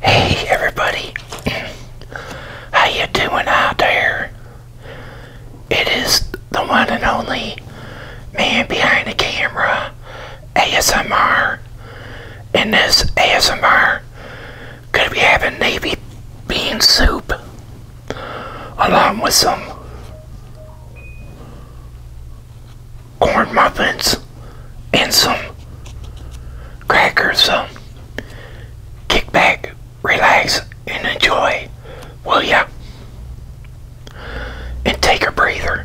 Hey everybody, how you doing out there? It is the one and only man behind the camera, ASMR. In this ASMR, gonna be having navy bean soup along with some corn muffins and some crackers. So kick back, relax, and enjoy, will ya? And take a breather.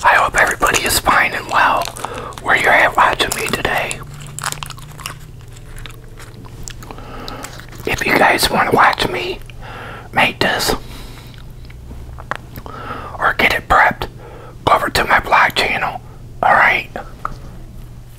I hope everybody is fine and well where you're at watching me today. If you guys want to watch me make this or get it prepped, go over to my blog channel. Alright?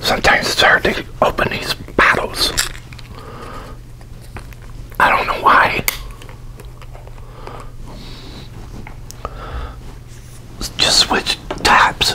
Sometimes it's hard to open these bottles. I don't know why. Just switch tops.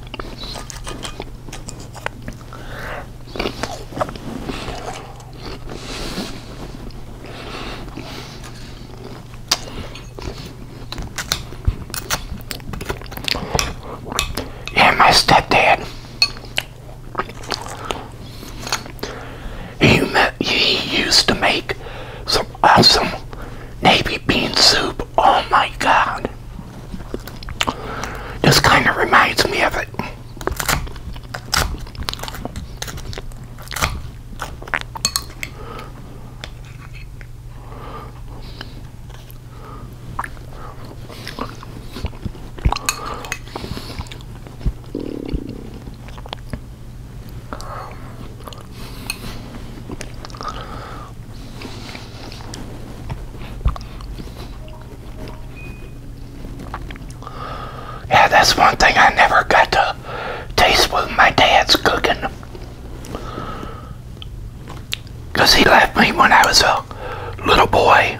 Yeah, my stepdad. He, used to make some awesome navy bean soup. Oh my god. This kind of reminds me of it. Yeah, that's one thing I never got to taste with my dad's cooking. Because he left me when I was a little boy.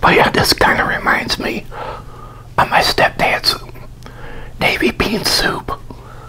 But yeah, this kind of reminds me of my stepdad's navy bean soup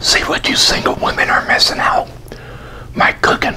See what you single women are missing out. My cooking.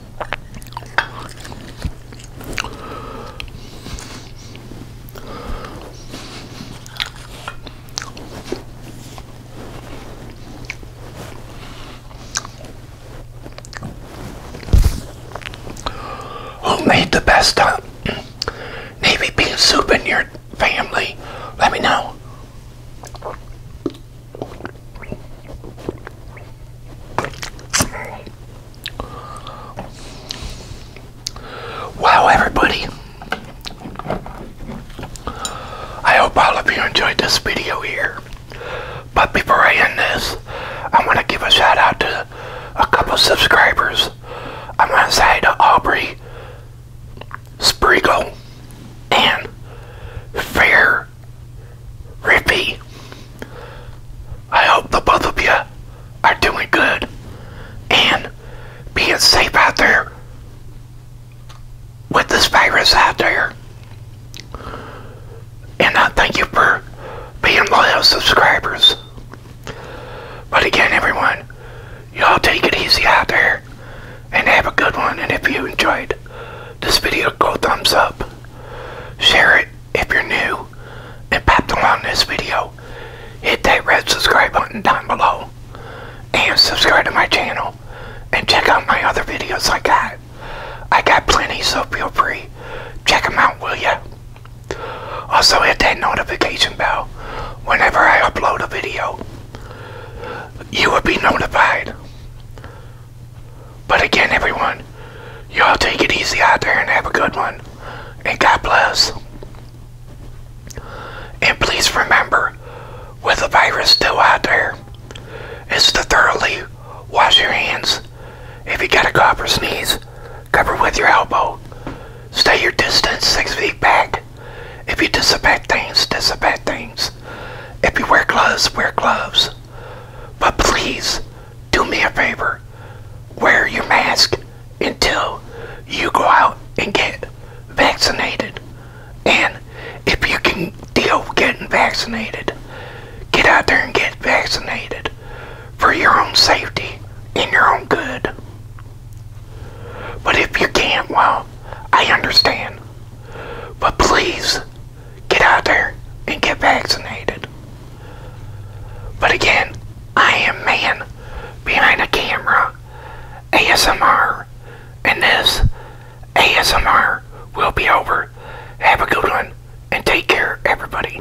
Who made the best uh, navy bean soup in your family? Let me know. Wow, everybody. I hope all of you enjoyed this video here. But before I end this, I want to give a shout out to a couple subscribers. I want to say to Aubrey Spriegel and Fair Mr. I hope the both of you are doing good and being safe out there with this virus out there. And I thank you for being loyal subscribers. But again, everyone, y'all take it easy out there and have a good one. And if you enjoyed this video, go thumbs up, share it if you're new, and popped along this video, hit that red subscribe button down below, and subscribe to my channel, and check out my other videos I got. I got plenty, so feel free. Check them out, will ya? Also hit that notification bell whenever I upload a video you will be notified. But again, everyone, y'all take it easy out there and have a good one. And God bless. And please remember, with the virus still out there, is to thoroughly wash your hands. If you got a cough or sneeze, cover with your elbow. Stay your distance six feet back. If you disinfect things, disinfect things. If you wear gloves, wear gloves. But please, do me a favor. Wear your mask until you go out and get vaccinated. And if you can deal with getting vaccinated, get out there and get vaccinated for your own safety and your own good. But if you can't, well, I understand. But please, get out there and get vaccinated. But again, I am man behind a camera, ASMR, and this ASMR will be over. Have a good one, and take care, everybody.